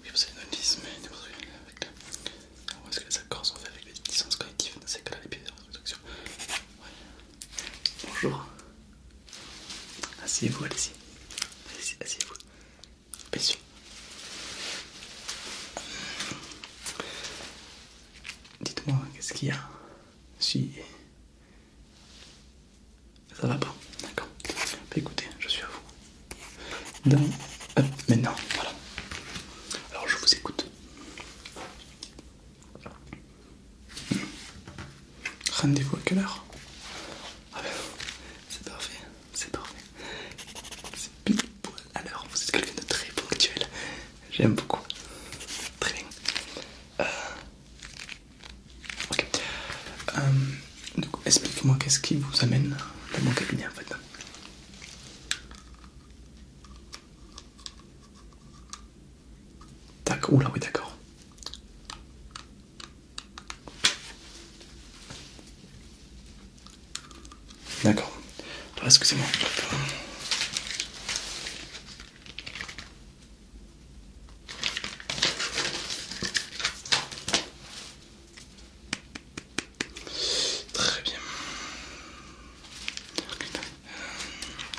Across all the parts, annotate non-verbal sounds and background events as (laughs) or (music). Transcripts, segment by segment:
Oui, vous avez avec ah, ce que les accords sont faits avec les collectives les Bonjour. Asseyez-vous, Allez-y, asseyez-vous. Dites-moi, qu'est-ce qu'il y a Si. Ça va pas, d'accord. Bah, écoutez, je suis à vous. Euh, maintenant, voilà. Alors je vous écoute. Rendez-vous à quelle heure ah ben, C'est parfait, c'est parfait. C'est pile à l'heure. Vous êtes quelqu'un de très ponctuel. J'aime beaucoup. Très bien. Euh, ok. Euh, donc, explique-moi qu'est-ce qui vous amène dans mon cabinet en fait. D'accord, oula, oui, d'accord. D'accord. Excusez-moi. Très bien. Euh,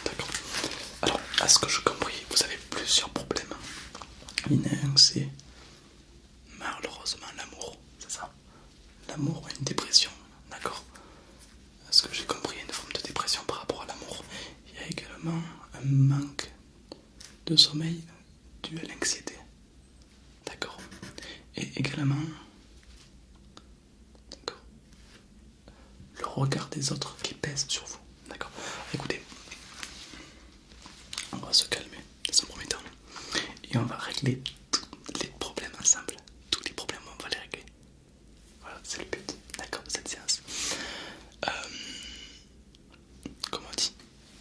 d'accord. Alors, à ce que je compris, vous avez plusieurs problèmes une c'est malheureusement l'amour, c'est ça L'amour une dépression, d'accord Ce que j'ai compris, une forme de dépression par rapport à l'amour. Il y a également un manque de sommeil dû à l'anxiété, d'accord Et également, d'accord, le regard des autres qui pèse sur vous. D'accord Écoutez, on va se calmer dans son premier temps et on va régler tous les problèmes ensemble. Tous les problèmes, on va les régler. Voilà, c'est le but, d'accord, de cette séance. Euh, comment on dit,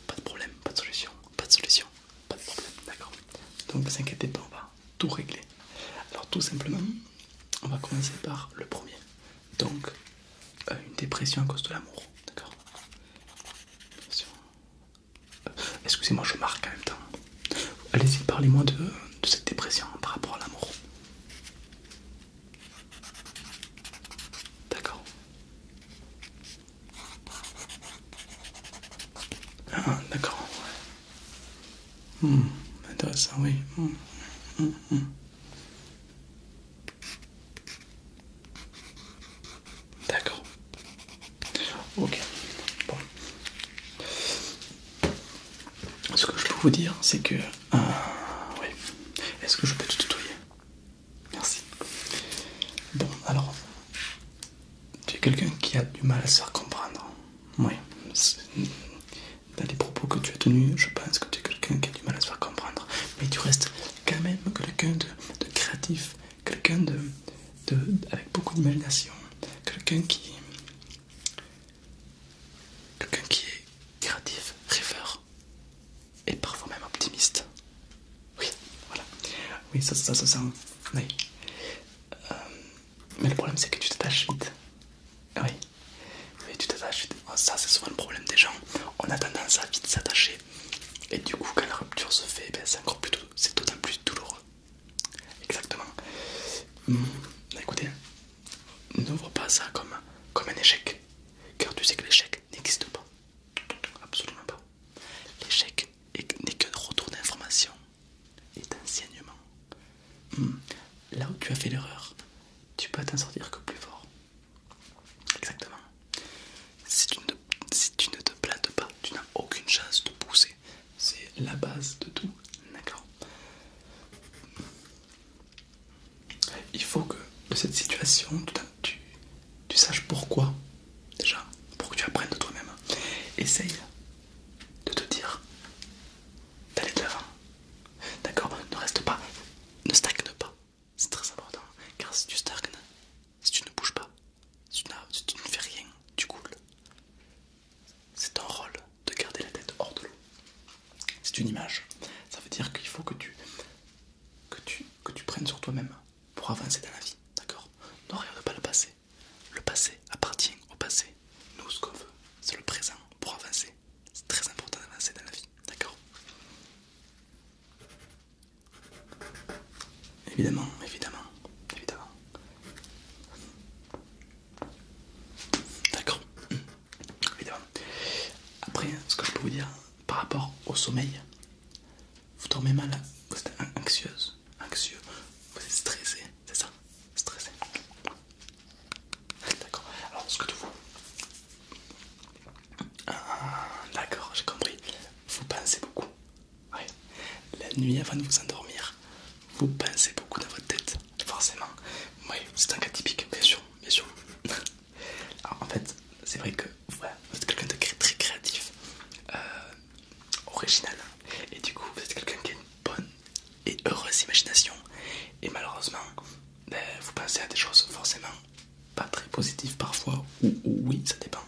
pas de problème, pas de solution, pas de solution, pas de problème, d'accord Donc ne vous inquiétez pas, on va tout régler. Alors tout simplement, on va commencer par le premier donc euh, une dépression à cause de l'amour, d'accord euh, Excusez-moi, je marque en même temps. Allez-y, parlez-moi de, cette dépression par rapport à l'amour. D'accord. Ah, d'accord. Hmm, intéressant, oui. hmm. hmm, hmm, hmm. D'accord. Ok. Bon. Ce que je peux vous dire, c'est que... Euh, oui. Est-ce que je peux te tutoyer Merci. Bon, alors... Tu es quelqu'un qui a du mal à se faire comprendre. Oui. Dans les propos que tu as tenus, je pense que tu es quelqu'un qui du mal à se faire comprendre, mais tu restes quand même quelqu'un de, créatif, quelqu'un de, avec beaucoup d'imagination, quelqu'un qui, quelqu'un qui est créatif, rêveur et parfois même optimiste. Oui, voilà. Oui, ça, se euh, sent. mais le problème, c'est que tu te tâches vite. Oui mais tu t'attaches. Ça, c'est souvent le problème des gens. On a tendance à vite s'attacher, et du coup, quand la rupture se fait, ben, c'est encore plus d'autant plus douloureux. Exactement. Hmm. Bah, écoutez, ne vois pas ça comme, comme un échec, car tu sais que l'échec n'existe pas. Absolument pas. L'échec n'est qu'un retour d'information et d'enseignement. Hmm. Là où tu as fait l'erreur, tu peux t'en sortir que plus fort. Exactement. Si tu, ne, te plates pas, tu n'as aucune chance de pousser. C'est la base de tout. D'accord Il faut que de cette situation, tu saches pourquoi, déjà, pour que tu apprennes de toi-même. Essaye de te dire d'aller de l'avant. D'accord Ne reste pas, ne stagne pas. C'est très important car si tu stagnes, si tu ne bouges pas, si tu, ne fais rien, tu coules. C'est ton rôle de garder la tête hors de l'eau. C'est une image. Ça veut dire qu'il faut que tu, que, tu, que tu prennes sur toi-même pour avancer dans la vie. D'accord Ne regarde pas le passé. Le passé appartient au passé. Nous, ce qu'on veut, c'est le présent pour avancer. C'est très important d'avancer dans la vie, d'accord Évidemment, évidemment, évidemment. D'accord mmh. Évidemment. Après, ce que je peux vous dire par rapport au sommeil, vous dormez mal, vous êtes anxieuse, anxieux, vous êtes stressé, c'est ça Stressé. D'accord. Alors ce que vous... Ah, d'accord, j'ai compris. Vous pensez beaucoup. La nuit avant de vous endormir, vous pensez beaucoup dans votre tête. Forcément. Oui, c'est un cas typique, bien sûr. Bien sûr. (laughs) Alors, en fait, c'est vrai que vous êtes quelqu'un de très créatif, euh, original. Et du coup, vous êtes quelqu'un qui a une bonne et heureuse imagination. Et malheureusement, vous pensez à des choses forcément pas très positives parfois, ou, oui, ça dépend,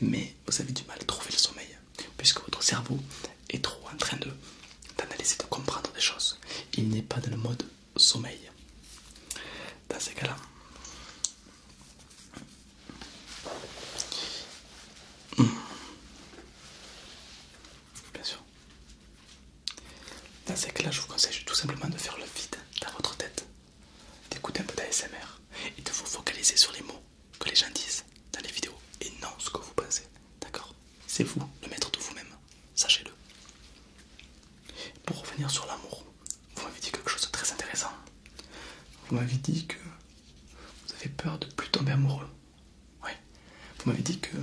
mais vous avez du mal à trouver le sommeil, puisque votre cerveau est trop en train d'analyser, de comprendre des choses. Il n'est pas dans le mode sommeil. Dans ces cas-là, hmm. Bien sûr. Dans ces cas-là, je vous conseille tout simplement de faire le vide dans votre tête, d'écouter un peu d'ASMR et de vous focaliser sur les mots que les gens disent dans les vidéos et non ce que vous pensez. D'accord C'est vous, le maître de vous-même. Sachez-le. Pour revenir sur l'amour, vous m'avez dit quelque chose de très intéressant. Vous m'avez dit que vous avez peur de plus tomber amoureux. Oui. Vous m'avez dit que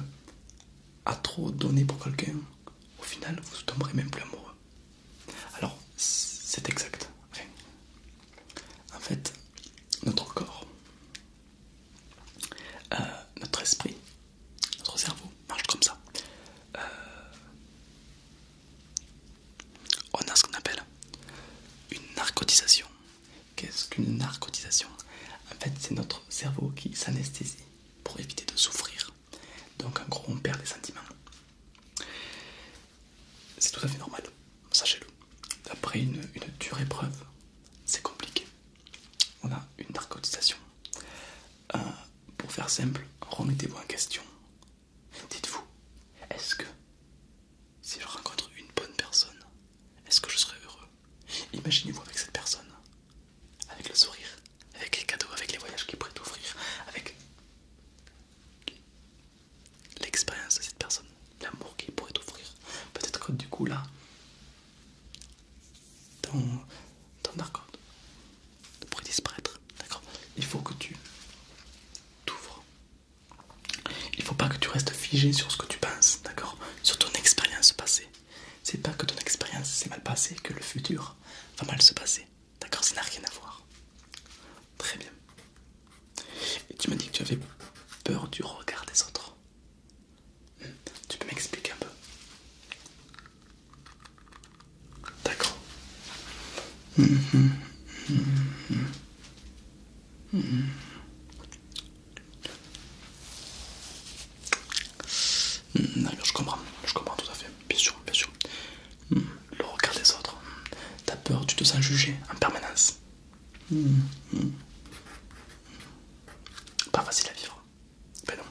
à trop donner pour quelqu'un, au final vous tomberez même plus amoureux. Alors c'est exact. en fait, notre corps, euh, notre esprit, notre cerveau marche comme ça. Euh, on a ce qu'on appelle une narcotisation. Qu'est-ce qu'une narcotisation En fait, c'est notre cerveau qui s'anesthésie pour éviter de souffrir. Donc en gros on perd les sentiments. C'est tout à fait normal, sachez-le. Après une, dure épreuve, c'est compliqué. On a une narcotisation. Euh, pour faire simple, remettez-vous en question. Dites-vous, est-ce que si je rencontre une bonne personne, est-ce que je serai heureux Imaginez-vous avec cette personne, avec le sourire, avec les cadeaux, avec les voyages qu'il pourrait t'offrir, avec l'expérience de cette personne, l'amour qu'il pourrait t'offrir. Peut-être que du coup là, ton, d'accord, pourrait disparaître. D'accord Il faut que tu t'ouvres. Il ne faut pas que tu restes figé sur ce que tu penses, d'accord Sur ton expérience passée. C'est pas que ton expérience s'est mal passée que le futur va mal se passer. D'accord Ça n'a rien à voir. Très bien. Et tu m'as dit que tu avais peur du regard des autres. Hmm, tu peux m'expliquer un peu D'accord. Hmm, hmm, Hmm, je comprends, je comprends tout à fait, bien sûr, bien sûr. Hmm, le regard des autres, t'as peur, tu te sens jugé en permanence. Hmm, Pas facile à vivre, ben non.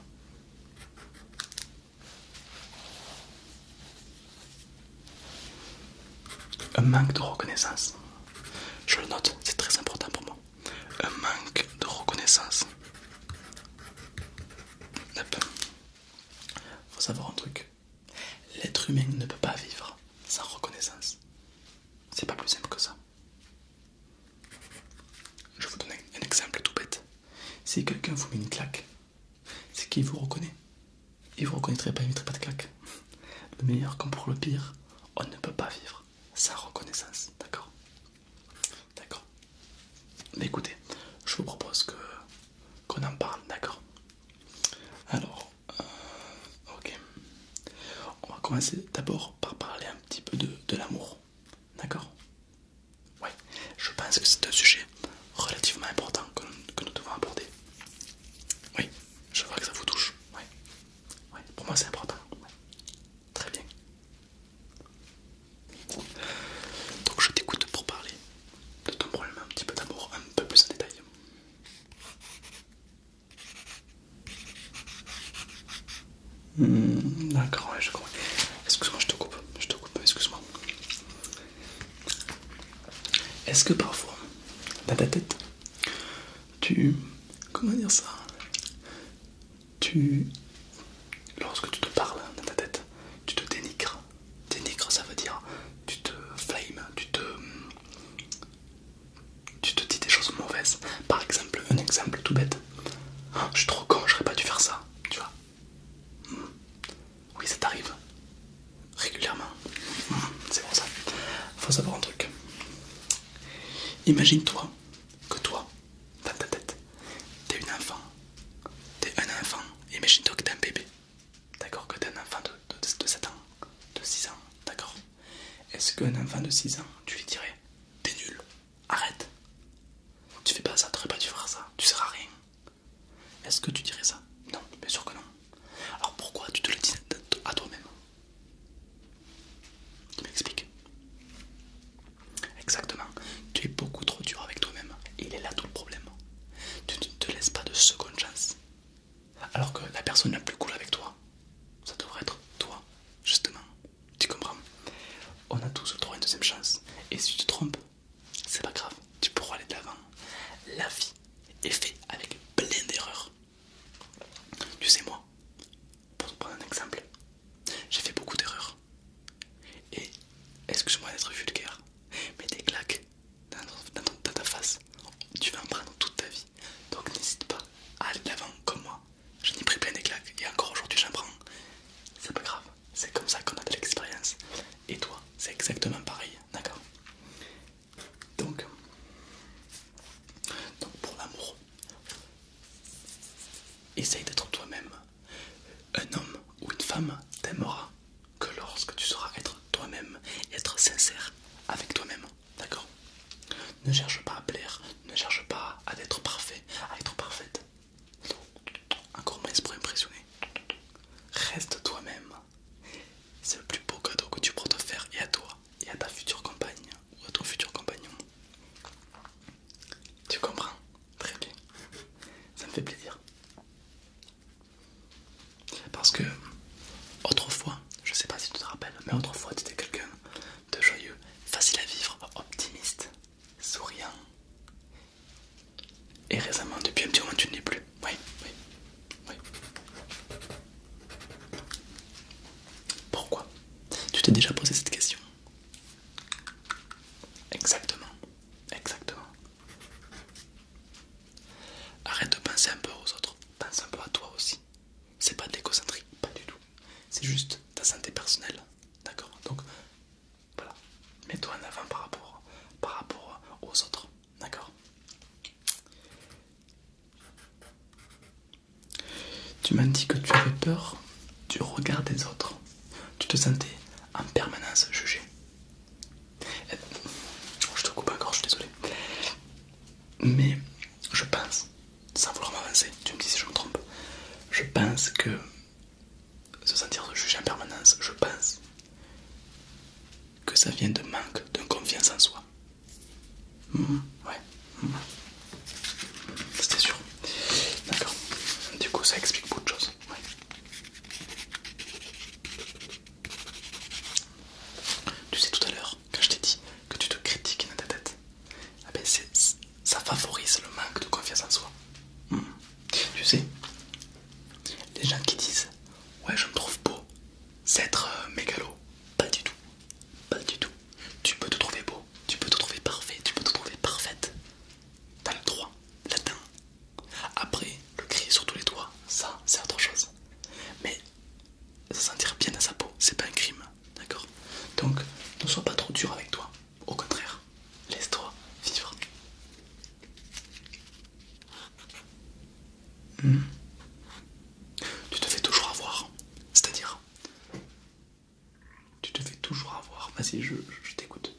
Un manque de reconnaissance. Je le note, c'est très important pour moi un manque de reconnaissance. Il Faut savoir un truc. L'être humain ne peut pas vivre sans reconnaissance. C'est pas plus simple que ça. Je vous donne un exemple tout bête. Si quelqu'un vous met une claque, c'est qu'il vous reconnaît. Il vous reconnaîtrait pas, il ne mettrait pas de claque. Le meilleur comme pour le pire, on ne peut pas vivre sans reconnaissance, d'accord D'accord. Écoutez, je vous propose que qu'on en parle, d'accord Alors, euh, ok. On va commencer d'abord par parler un petit peu de, de l'amour, d'accord Oui, je pense que c'est un sujet relativement important que, nous devons aborder. Oui, je vois que ça vous touche. Oui, oui. pour moi c'est important. Très bien. Donc je t'écoute pour parler de ton problème un petit peu d'amour, un peu plus en détail. Hmm, d'accord, je comprends. Excuse-moi, je te coupe. Je te coupe, excuse-moi. Est-ce que parfois, dans ta tête, tu... Comment dire ça tu, lorsque tu te parles dans ta tête, tu te dénigres. Dénigre, ça veut dire tu te flames, tu te, tu te dis des choses mauvaises. Par exemple, un exemple tout bête. Oh, je suis trop con, j'aurais pas dû faire ça, tu vois. Hmm. Oui, ça t'arrive régulièrement. Hmm, c'est pour ça. Faut savoir un truc. Imagine-toi que toi, dans ta tête, t'es une enfant, t'es un enfant, imagine-toi que t'es un bébé, d'accord, que t'es un enfant de, 7 ans, de 6 ans, d'accord Est-ce qu'un enfant de 6 ans, tu lui dirais, t'es nul, arrête, tu fais pas ça, t'aurais pas dû faire ça, tu seras rien Est-ce que tu dirais ça Non, bien sûr que non. Alors pourquoi tu te le dis à toi-même tu m'expliques Exactement. Tu es beaucoup trop dur avec toi-même. Il est là tout le problème. Tu ne te laisses pas de seconde chance. Alors que la personne la plus cool avec toi, ça devrait être toi, justement. Tu comprends On a tous le droit à une deuxième chance. Et si tu te trompes, c'est pas grave. Tu pourras aller de l'avant. La vie est faite avec plein d'erreurs. Tu sais moi, pour te prendre un exemple, j'ai fait beaucoup d'erreurs. Et excuse-moi d'être vulgaire, mais des claques dans, ta face, tu vas en prendre toute ta vie. Donc n'hésite pas à aller de l'avant comme moi. J'en ai pris plein des claques et encore aujourd'hui j'en prends. C'est pas grave, c'est comme ça qu'on a de l'expérience. Et toi, c'est exactement pareil, d'accord donc, donc pour l'amour, Essaye d'être toi-même. Un homme ou une femme t'aimera que lorsque tu sauras être toi-même être sincère avec toi-même. D'accord Ne cherche pas à plaire, ne cherche pas à être parfait, à être parfaite. Encore moins pour impressionner. Reste toi-même. C'est le plus beau cadeau que tu pourras te faire et à toi et à ta future compagne ou à futur compagnon. Tu comprends Très bien. Ça me fait plaisir. Parce que autrefois, je sais pas si tu te rappelles, mais autrefois tu étais quelqu'un de joyeux, facile à vivre, optimiste, souriant. Et récemment, depuis un petit moment, tu ne l'es plus. Oui, oui, oui. Pourquoi Tu t'es déjà posé cette question Exactement, exactement. Arrête de penser un peu aux autres, pense un peu à toi aussi. C'est pas de pas du tout. C'est juste ta santé personnelle, d'accord Donc voilà, mets-toi en avant par rapport, par rapport aux autres, d'accord tu m'as dit que tu avais peur du regard des autres. Tu te sentais en permanence jugé. Euh, je te coupe encore, je suis désolé. Mais je pense, sans vouloir m'avancer, tu me dis si je me trompe, je pense que se sentir jugé en permanence, je pense que ça vient de manque de confiance en soi. Mmh, ouais. Mmh. C'était sûr. D'accord. Du coup, ça explique beaucoup de choses. Tu sais tout à l'heure, quand je t'ai dit que tu te critiques dans ta tête, ah ben, ça favorise le manque de confiance en soi. Mmh. Tu sais, les gens qui disent Ouais, je me trouve beau, c'est être euh, mégalo. Pas du tout. Pas du tout. Tu peux te trouver beau tu peux te trouver parfait, tu peux te trouver parfaite. dans le droit, latin. Après, le cri sur tous les toits, ça c'est autre chose. Mais se sentir bien à sa peau, c'est pas un crime, d'accord Donc ne sois pas trop dur avec toi. Au contraire, laisse-toi vivre. Hmm. Tu te fais toujours avoir, c'est-à-dire tu te fais toujours avoir. Vas-y, je, t'écoute.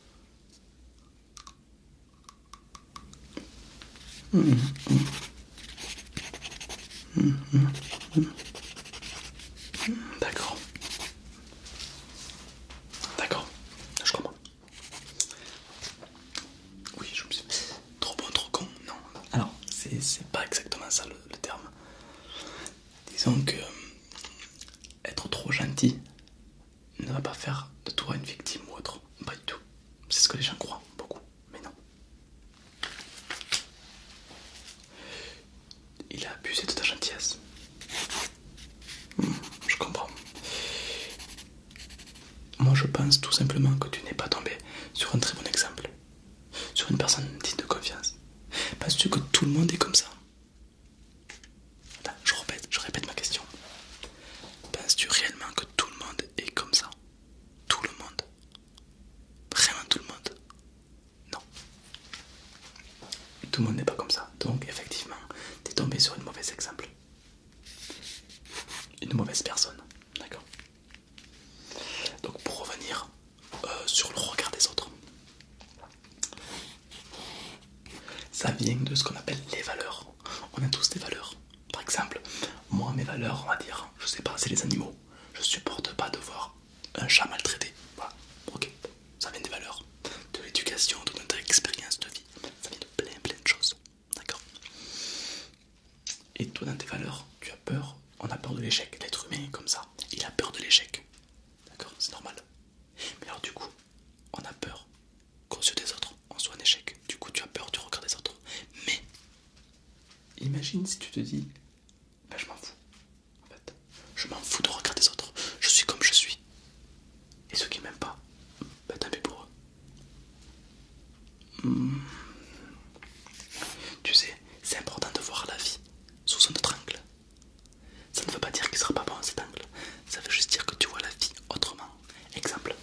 D'accord. D'accord. Je comprends. Oui, je me suis... Trop bon, trop con. Non. Alors, c'est pas exactement ça le terme. Disons que euh, être trop gentil ne va pas faire de toi une victime ou autre, pas du tout. C'est ce que les gens croient beaucoup, mais non. Il a abusé de ta gentillesse. Hmm, je comprends. Moi je pense tout simplement que tu n'es pas tombé sur un très bon exemple sur une personne digne de confiance. Penses-tu que tout le monde est comme ça je répète, je ma question. Penses-tu réellement que tout le monde est comme ça Tout le monde Vraiment tout le monde Non. Tout le monde n'est pas comme ça. Donc effectivement, tu es tombé sur une mauvaise exemple. Une mauvaise personne. D'accord. Donc pour revenir euh, sur le regard des autres. Ça vient de ce qu'on appelle les valeurs. On a tous des valeurs. Par exemple, moi, mes valeurs, on va dire, je sais pas, c'est les animaux. Je supporte pas de voir un chat maltraité. ok, ça vient des valeurs, de l'éducation, de notre expérience de vie. Ça vient de plein plein de choses. D'accord et toi, dans tes valeurs, tu as peur, on a peur de l'échec. L'être humain est comme ça, il a peur de l'échec. D'accord C'est normal. Mais alors, du coup, on a peur qu'aux yeux des autres, on soit un échec. Du coup, tu as peur du regard des autres. Mais, imagine si tu te dis, bah, je m'en fous. En fait, je m'en fous de regarder des autres. Je suis comme je suis. Et ceux qui m'aiment pas, bah tant pour eux. Hmm. Tu sais, c'est important de voir la vie sous un autre angle. Ça ne veut pas dire qu'il sera pas bon cet angle, ça veut juste dire que tu vois la vie autrement. Exemple.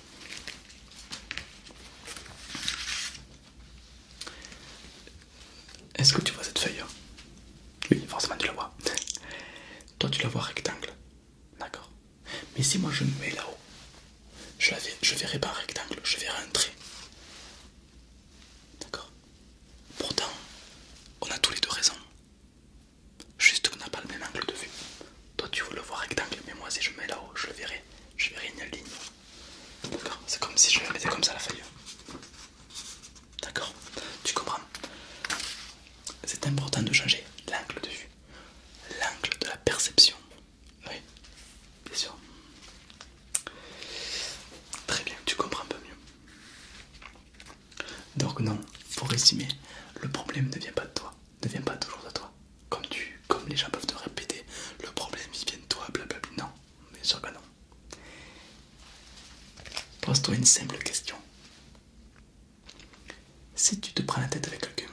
Est-ce que tu vois cette feuille hein Oui, forcément tu la vois. (laughs) Toi tu la vois rectangle. D'accord. Mais si moi je me mets là-haut, je, je verrai pas rectangle, je verrai un trait. D'accord Pourtant, on a tous les deux raison. Juste qu'on n'a pas le même angle de vue. Toi, tu veux le voir rectangle, mais moi, si je mets là-haut, je le verrai. Je verrai une ligne. D'accord C'est comme si je mettais comme ça la feuille. D'accord Tu comprends C'est important de changer l'angle de vue, l'angle de la perception oui, bien sûr. Très bien, tu comprends un peu mieux. Donc non, pour résumer, le problème ne vient pas de toi, ne vient pas toujours de toi. Comme tu, comme les gens peuvent te répéter, le problème vient de toi, blablabla. Non, bien sûr que non. Pose-toi une simple question. Si tu te prends la tête avec quelqu'un,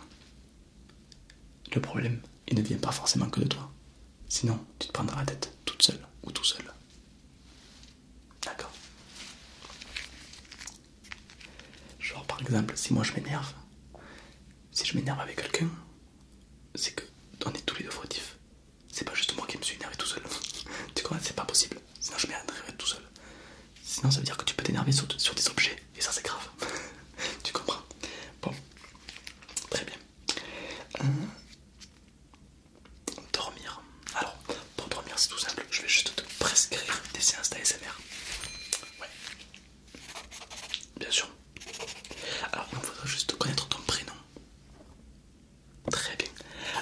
le problème, il ne vient pas forcément que de toi. Sinon, tu te prendras la tête toute seule ou tout seul. D'accord Genre, par exemple, si moi je m'énerve, si je m'énerve avec quelqu'un, c'est que on est tous les deux fautifs. C'est pas juste moi qui me suis énervé tout seul. (laughs) tu comprends C'est pas possible. Sinon, je m'énerverai tout seul. Sinon, ça veut dire que tu peux t'énerver sur, sur des objets, et ça, c'est grave. (laughs) tu comprends Bon, très bien. Euh, dormir. Alors, pour dormir, c'est tout simple. Je vais juste te prescrire des séances d'ASMR. Ouais. Bien sûr. Alors, il me faudra juste connaître ton prénom. Très bien.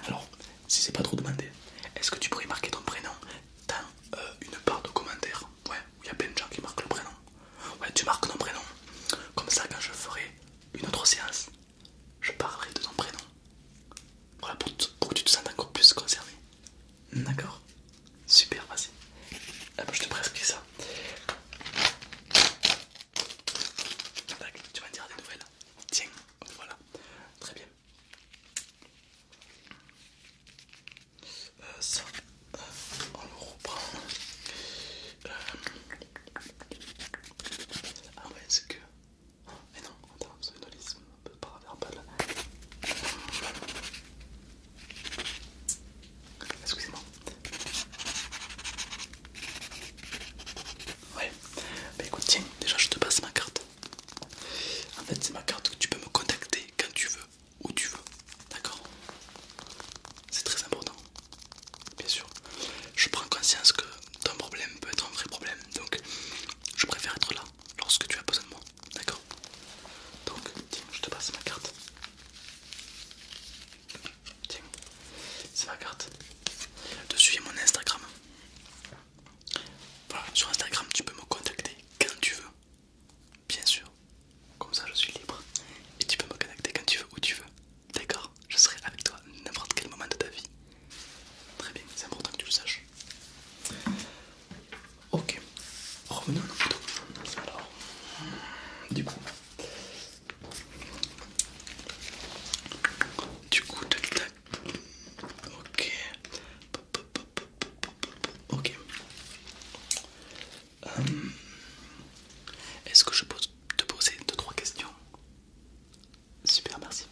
Alors, si c'est pas trop demandé, est-ce que tu pourrais marquer ton prénom dans euh, une barre de commentaires Ouais, il y a plein de gens qui marquent le prénom. Ouais, tu marques ton prénom. Comme ça, quand je ferai une autre séance, je parlerai de ton prénom. Voilà, pour, que tu te sentes encore plus concerné. D'accord Super, vas-y. Ah, je te prescris ça. Tu vas me dire des nouvelles. Tiens, voilà. Très bien. Euh, ça euh, on le reprend euh... ah ouais c'est que oh, mais non on a un liste un peu paraverbal excusez-moi ouais bah écoute tiens déjà je te passe ma carte en fait c'est ma carte que tu peux me contacter quand tu veux où tu veux. D'accord C'est très important. Bien sûr. Je prends conscience que ton problème peut être un vrai problème. Donc je préfère être là lorsque tu as besoin de moi. D'accord Donc tiens, je te passe ma carte. Tiens, c'est ma carte. Dessus suivre mon Instagram. Voilà, sur Instagram tu peux me contacter quand tu veux. Bien sûr, comme ça je suis libre et tu peux me connecter quand tu veux, où tu veux. D'accord Je serai avec toi n'importe quel moment de ta vie. Très bien, c'est important que tu le saches. Ok, revenons à nos Alors, du coup, du coup, tac. Ok, ok. Euh, est-ce que je peux te poser deux trois questions Super, merci.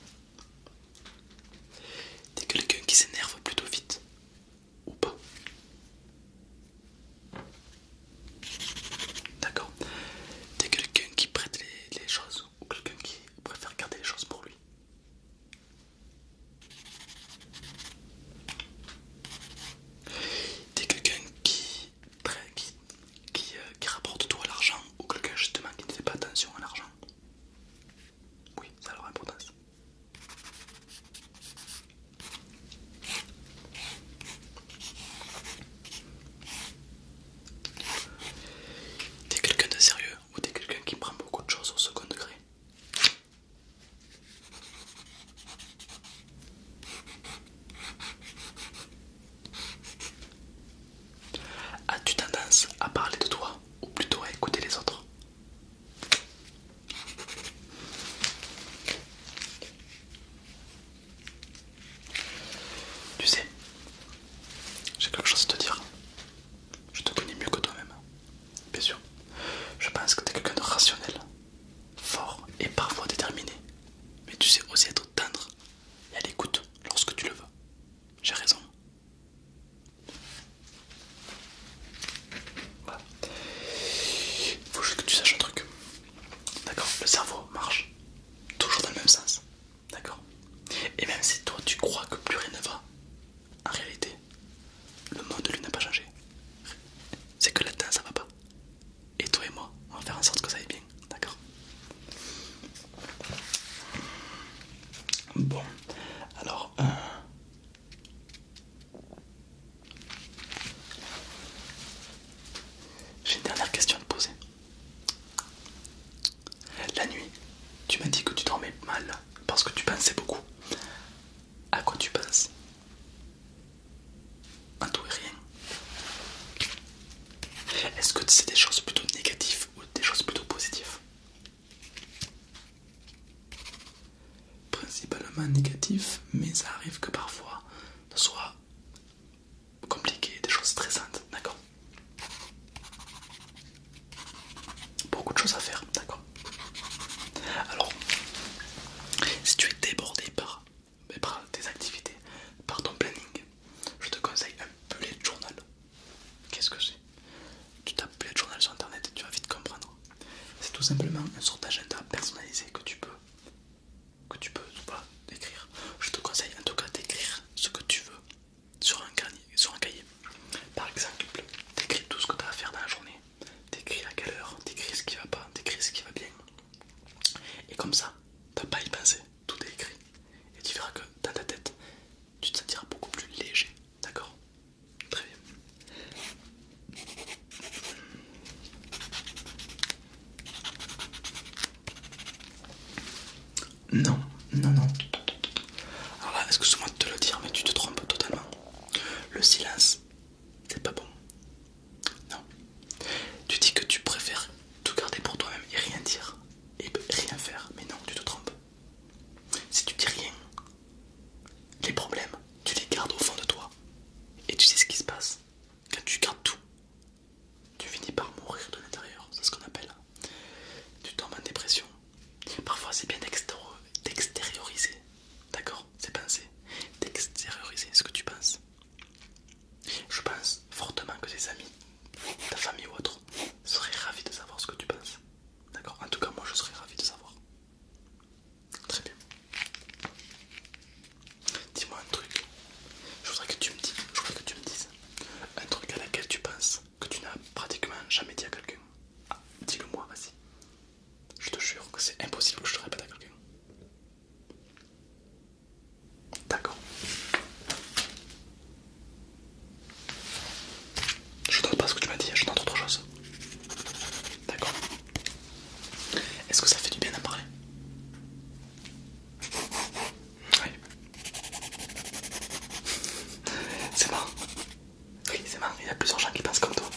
T'es quelqu'un qui s'énerve plutôt vite ou pas D'accord. T'es quelqu'un qui prête les choses ou quelqu'un qui préfère garder les choses pour lui T'es quelqu'un qui, euh, qui, rapporte tout à l'argent ou quelqu'un justement qui ne fait pas attention à l'argent Oui, ça a leur importance. T'es quelqu'un de sérieux ou t'es quelqu'un qui prend beaucoup de choses au second degré As-tu tendance à parler de toi ou plutôt à écouter les autres Tu sais, j'ai quelque chose à te dire. Je te connais mieux que toi-même. Bien sûr, je pense que tu es quelqu'un de rationnel, fort et parfois déterminé, mais tu sais aussi être tendre et à l'écoute lorsque tu le veux. J'ai raison. Voilà. Faut juste que tu saches un truc. D'accord Le cerveau marche toujours dans le même sens. D'accord Et même si toi tu crois que plus rien ne va, en réalité, le monde lui n'a pas changé. C'est que là-dedans ça va pas. Et toi et moi, on va faire en sorte que ça aille bien, d'accord Bon, alors... Euh, j'ai une dernière question à te poser. La nuit, tu m'as dit que tu dormais mal parce que tu pensais beaucoup. À quoi tu penses en tout et rien. Est-ce que c'est des choses plutôt négatives ou des choses plutôt positives Principalement négatif, mais ça arrive que parfois ce soit compliqué, des choses stressantes, d'accord Beaucoup de choses à faire, d'accord alors, si tu es débordé par, tes activités, par ton planning, je te conseille un bullet journal. Qu'est-ce que c'est Tu tapes bullet journal sur internet et tu vas vite comprendre. C'est tout simplement un sort d'agenda personnalisé que tu peux que tu peux pas écrire. Je te conseille en tout cas d'écrire ce que tu veux sur un, sur un cahier. Par exemple, écris tout ce que tu as à faire dans la journée, T'écris à quelle heure, t'écris ce qui va pas, t'écris ce qui va bien. Et comme ça, t'as pas à y penser, tout est écrit. Et tu verras que dans ta tête, tu te sentiras beaucoup plus léger, d'accord Très bien. Non, non, non. Alors là, excuse-moi de te le dire, mais tu te trompes totalement. Le silence c'est pas bon. Non. Tu dis que tu préfères tout garder pour toi-même et rien dire et rien faire. Mais non, tu te trompes. Si tu dis rien, les problèmes, tu les gardes au fond de toi. Et tu sais ce qui se passe. Quand tu gardes tout, tu finis par mourir de l'intérieur. C'est ce qu'on appelle. Tu tombes en dépression. Parfois, c'est bien d'extérioriser. D'accord c'est penser, pensées, d'extérioriser ce que tu penses. Je pense fortement que tes amis, ta famille ou autre, seraient ravis de savoir ce que tu penses. D'accord En tout cas, moi je serais ravi de savoir. Très bien. Dis-moi un truc. Je voudrais que tu me dises, que tu me dises un truc à laquelle tu penses que tu n'as pratiquement jamais dit à quelqu'un. Ah, dis-le moi, vas-y. Je te jure que c'est impossible que je te répète à quelqu'un. D'accord. Je note pas ce que tu m'as dit, je note autre chose. D'accord. Est-ce que ça fait du bien d'en parler Oui. C'est marrant. Oui, c'est marrant, il y a plusieurs gens qui pensent comme toi.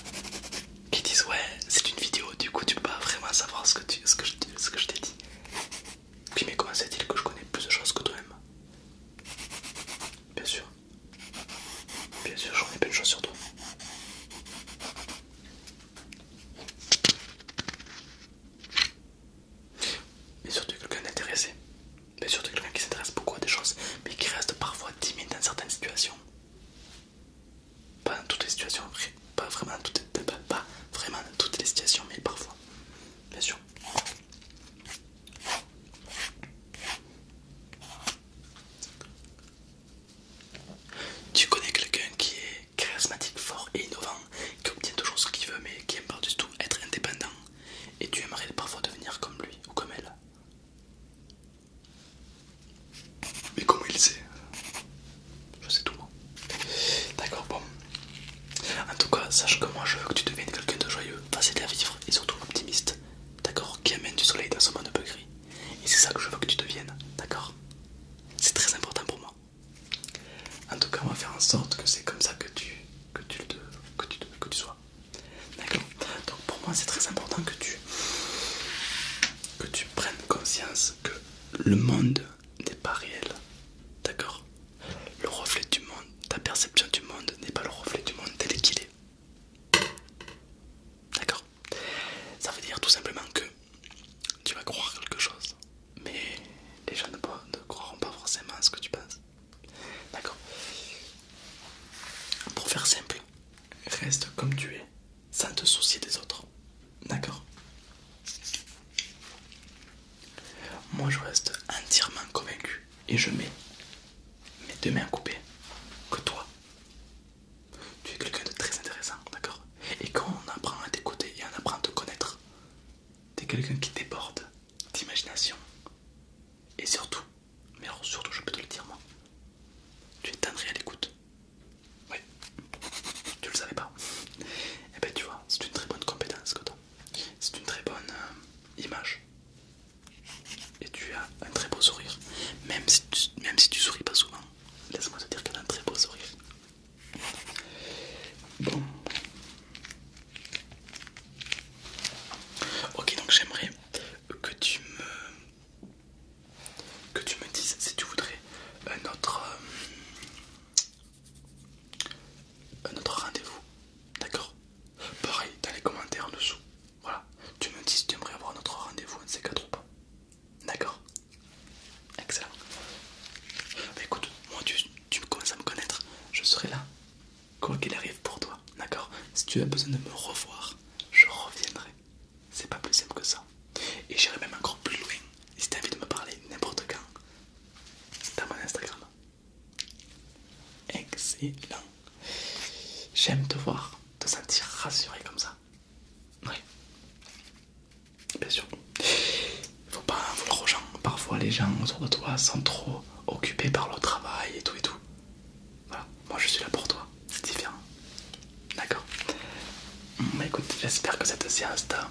Qui disent ouais, c'est une vidéo, du coup tu peux pas vraiment savoir ce que, je, t'ai dit. Puis mais comment c'est-il que je connais plus de choses que toi-même Bien sûr. Bien sûr, j'en ai plein de choses sur toi. Mais surtout quelqu'un d'intéressé. Mais surtout quelqu'un qui s'intéresse beaucoup à des choses, mais qui reste parfois timide dans certaines situations. Pas dans toutes les situations, pas vraiment toutes les, pas, vraiment toutes les situations, mais parfois, bien sûr. Tu connais quelqu'un qui est charismatique, fort et innovant, qui obtient toujours ce qu'il veut, mais qui aime par-dessus tout être indépendant, et tu aimerais parfois devenir comme lui ou comme elle. Mais comment il sait Je sais tout moi. D'accord, bon. En tout cas, sache que moi je veux que tu deviennes quelqu'un de joyeux, facile à vivre et surtout optimiste. D'accord Qui amène du soleil dans son monde peu gris. Et c'est ça que je veux que tu deviennes. D'accord C'est très important pour moi. En tout cas, on va faire en sorte que c'est comme ça que tu, que tu, que tu sois. D'accord Donc pour moi c'est très important que tu, que tu prennes conscience que le monde n'est pas réel. D'accord Le reflet du monde, ta perception du monde n'est pas le reflet du monde tel qu'il est. D'accord Ça veut dire tout simplement que tu vas croire quelque chose, mais les gens ne, ne croiront pas forcément ce que tu penses. D'accord Pour faire simple, Reste comme tu es, sans te soucier des autres. D'accord Moi je reste entièrement convaincu et je mets mes deux mains coupées que toi. Tu es quelqu'un de très intéressant, d'accord Et quand on apprend à t'écouter et on apprend à te connaître, t'es quelqu'un qui déborde d'imagination et surtout mais surtout, je peux te le dire, moi. Tu es tendré à l'écoute. Oui, tu le savais pas. Et eh ben, tu vois, c'est une très bonne compétence que C'est une très bonne euh, image. Et tu as un très beau sourire. Même si tu, même si tu souris pas souvent, laisse-moi te dire que tu un très beau sourire. Bon. Ok, donc j'aimerais que tu me que tu me dises si tu voudrais un autre, euh, un autre rendez-vous, d'accord Pareil, dans les commentaires en dessous, voilà, tu me dis si tu aimerais avoir un autre rendez-vous, un C4 ou pas, d'accord Excellent. Bah, écoute, moi tu, tu commences à me connaître, je serai là quoi qu'il arrive pour toi, d'accord Si tu as besoin de me revoir, je reviendrai. C'est pas plus simple que ça. Et j'irai même encore plus loin. Et si tu envie de me parler n'importe quand, à mon Instagram. Excellent. J'aime te voir, te sentir rassuré comme ça. Oui. Bien sûr. faut pas vouloir aux gens. Parfois les gens autour de toi sont trop occupés par leur travail et tout et tout. Voilà, moi je suis là pour toi, c'est différent. D'accord écoute, j'espère que cette séance t'a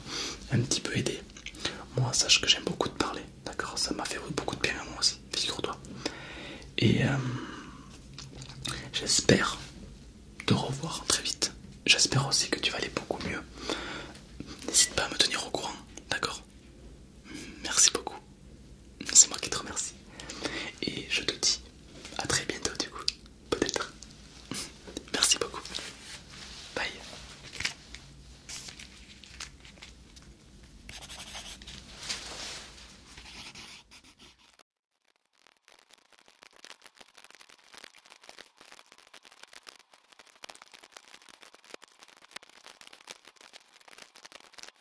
un petit peu aidé. Moi, sache que j'aime beaucoup te parler, d'accord Ça m'a fait beaucoup de bien à moi aussi, figure-toi. Et euh, j'espère te revoir très vite. J'espère aussi que tu vas aller beaucoup mieux. N'hésite pas à me tenir au courant, d'accord Merci beaucoup. C'est moi qui te remercie. Et je te dis à très bientôt du coup. Peut-être. (laughs) Merci beaucoup. Bye.